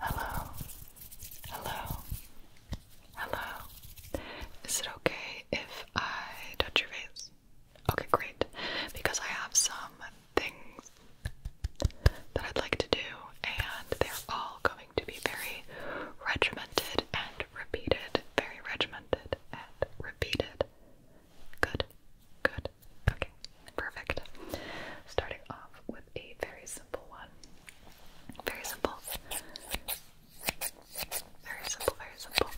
Hello, hello, hello. Is it okay if I touch your face? Okay, great. Because I have some things that I'd like to do, and they're all going to be very regimented and repeated. Very regimented and repeated. Good, good, Okay, perfect. Starting off with a very simple one. Very simple. Very simple, very simple.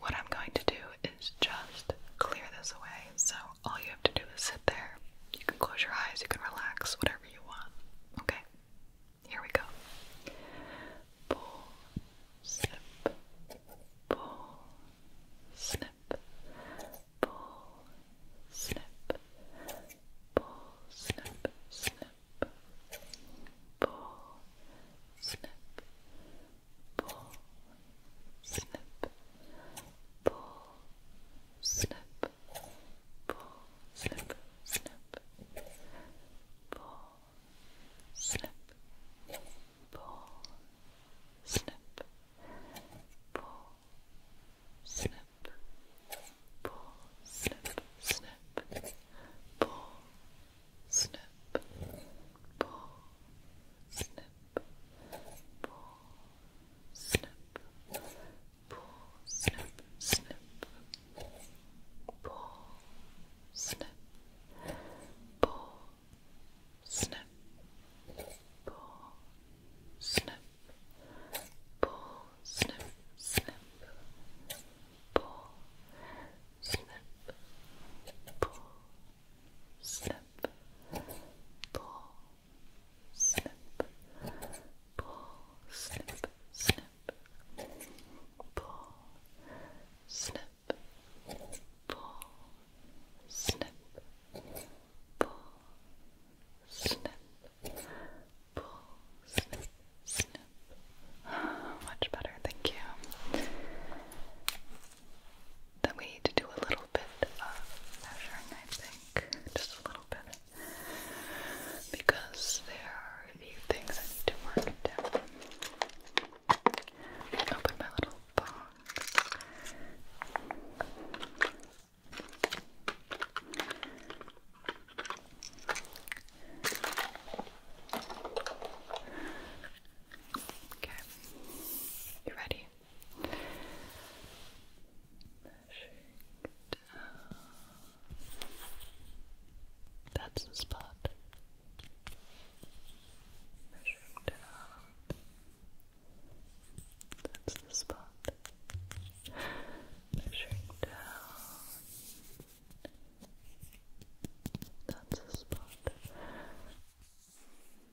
What I'm going to do is just clear this away. So all you have to do is sit there. You can close your eyes, you can relax, whatever you want. Okay? Here we go. Pull, snip, pull, snip, snip, pull, snip, pull, snip, snip, pull, snip, pull, snip, pull, snip, pull, snip, snip, pull, snip, pull, snip pull, snip, pull, snip, snip, pull, snip, pull, snip, pull, snip, pull, snip, snip, pull, snip, pull, snip, pull, snip, pull, snip, snip, pull, snip, pull, snip, pull, snip, pull, snip, snip, pull, snip pull, snip, pull, snip, pull, snip, much better, thank you. Then we need to do a little bit of measuring, I think. Just a little bit. Because there are a few things I need to mark down. Open my little box. Okay, you ready? That's the spot. Measuring down. That's the spot. Measuring down. That's the spot.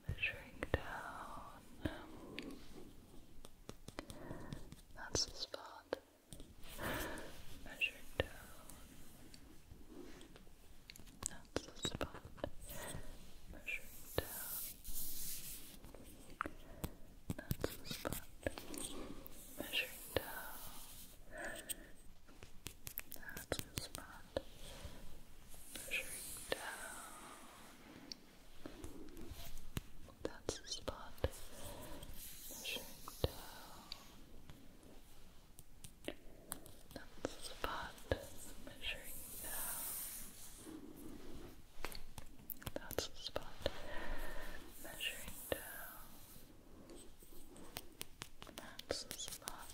Measuring down. That's the spot. Measuring down. That's the spot. Measuring down. That's the spot. Measuring down. That's the spot. Measuring down. That's the spot. Measuring down. That's the spot measuring down. That's the spot measuring down. That's the spot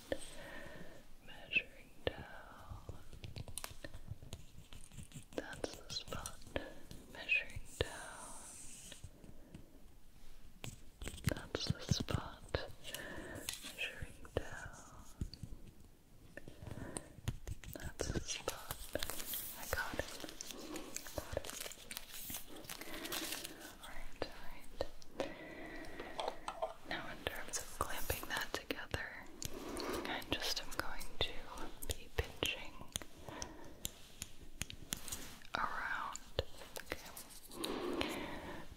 measuring down. That's the spot measuring down. That's the spot. Measuring down. That's the spot. I got it. Got it. Alright, alright. Now, in terms of clamping that together, I just am going to be pinching around. Okay.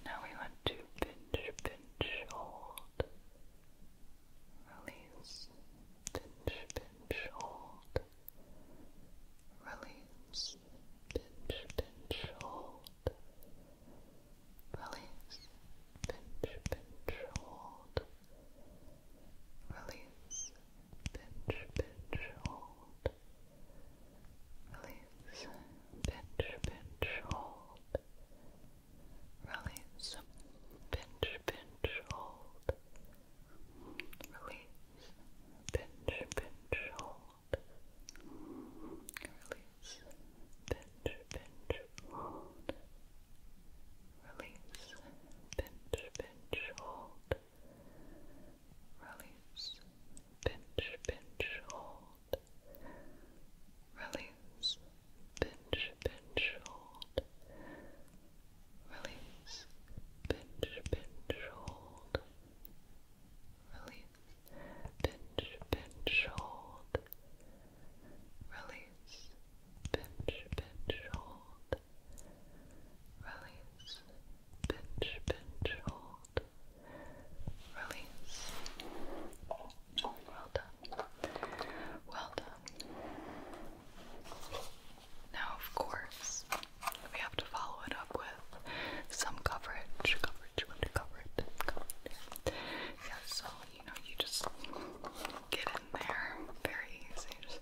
Now we want to pinch, pinch, hold, release, pinch, pinch, hold, release, pinch, pinch, hold, release, pinch, pinch, hold, release, pinch, pinch, hold, Release. Pinch, pinch, hold. Release. Pinch, pinch, hold. Release. Pinch, pinch, hold. Release. Pinch, pinch, hold. Release. Pinch, pinch, hold release, pinch, pinch, hold, release, pinch, pinch, hold, release, pinch, pinch, hold, release, pinch, pinch, hold, release, pinch, pinch, hold, release, pinch, pinch, hold. hold. Release. Well done. Well done. Now, of course, we have to follow it up with some coverage. Coverage, coverage, coverage. so, you know, you just get in there very easy.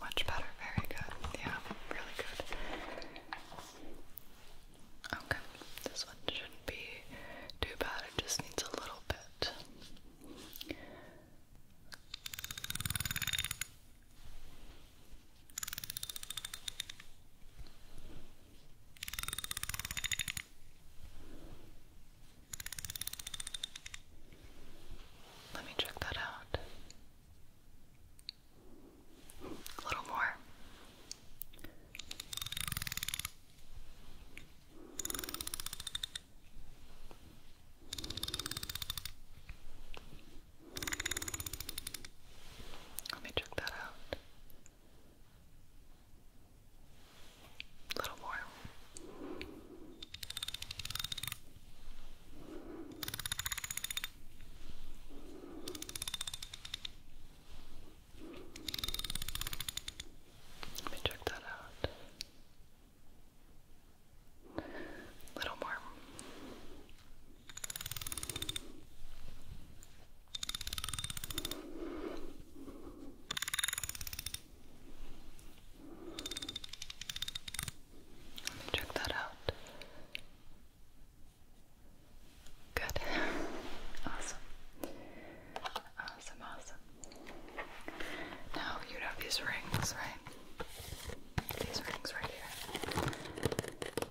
Much better, very good. Yeah, really good. Okay, this one shouldn't be too bad, it just needs a little bit. Let me check that out. A little more. Let me check that out. A little more. Let me check that out. A little more check that out. Good. Awesome. Awesome, awesome. Now you have these rings, right? These rings right here.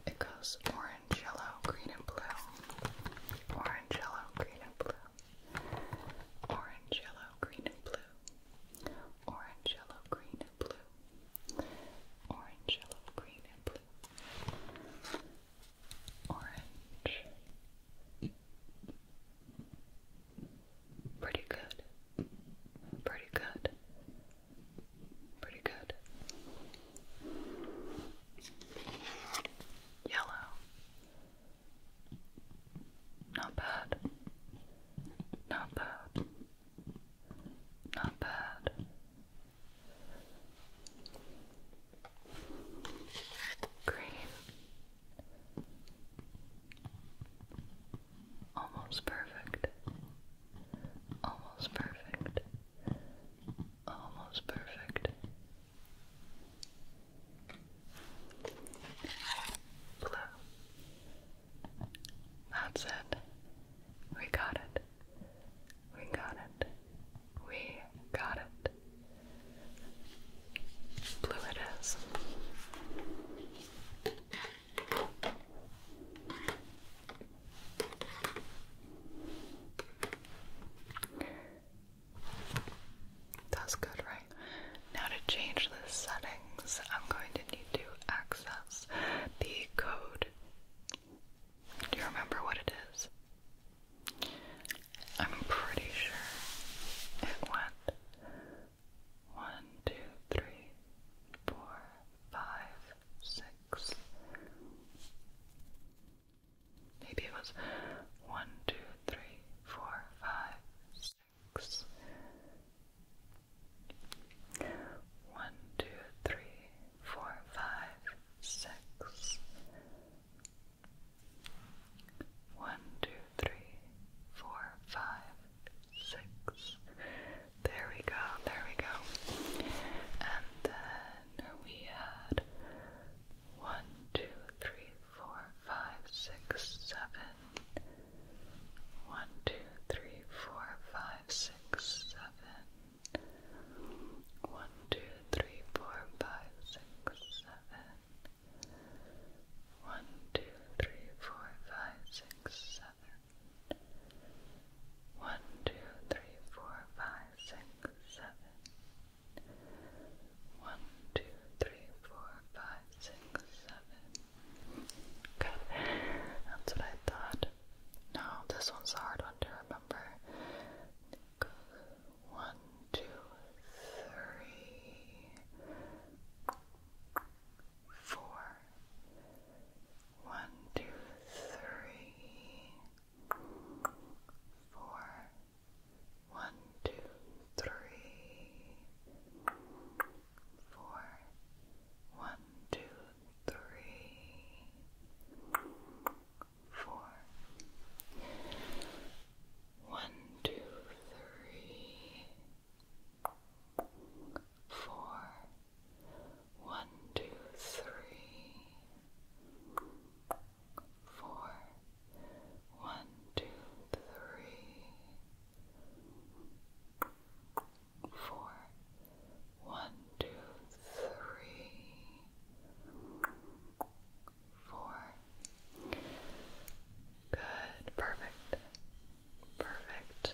It goes orange orange, yellow, green, and blue. Orange, yellow, green, and blue. Orange, yellow, green, and blue. Orange, yellow, green, and blue. Orange, Pretty good. Pretty good. Pretty good. Yellow. Not bad. Not bad. Not bad. Green. Almost perfect. Almost perfect. Almost perfect. Blue. That's it. We got it. We got it. We got it. Blue it is. That's good, right? Now to change the settings, I'm going to need to access the code. Do you remember what it is? I'm pretty sure it went one, two, three, four, five, six, Maybe it was one, two, three, four, five, six. One, two, three, four, five, six. One, two, three, four, five, six. There we go, there we go. And then we had one, two, three, four, five, six, seven. One, two, three, four, five, six, seven. One, two, three, four, five, six, seven. One, two, three, four, five, six, seven. One, two, three, four, five, six, seven. One, two, three, four, five, six, seven. Good. That's what I thought. No, this one's hard one to remember. One, two, three, four, one, two, three, four. One, two, three, four. One, two, three, four. One, two, three, four, one, two, three, four, one, two, three, four, one, two, three, four. Good, perfect, perfect.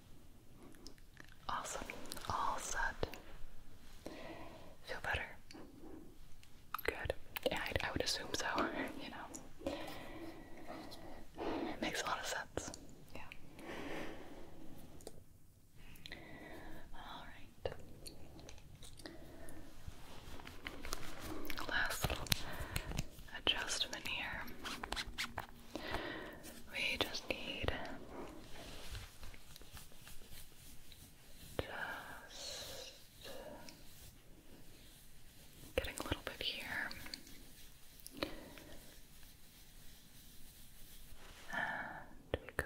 Awesome. All set. Feel better? Good. Yeah, I, would assume so, you know. makes a lot of sense. Yeah. Alright. Last adjustment here. We just need just getting a little bit here. And we go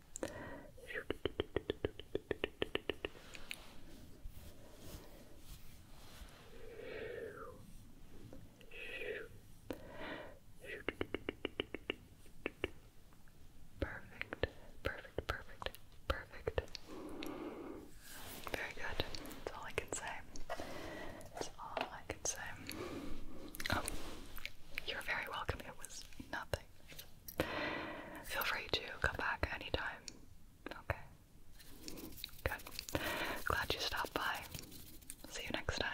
Perfect, perfect, perfect, perfect. Very good. That's all I can say. That's all I can say. Oh, you're very welcome. It was nothing. Feel free to come back anytime. Okay. Good. Glad you stopped by. See you next time.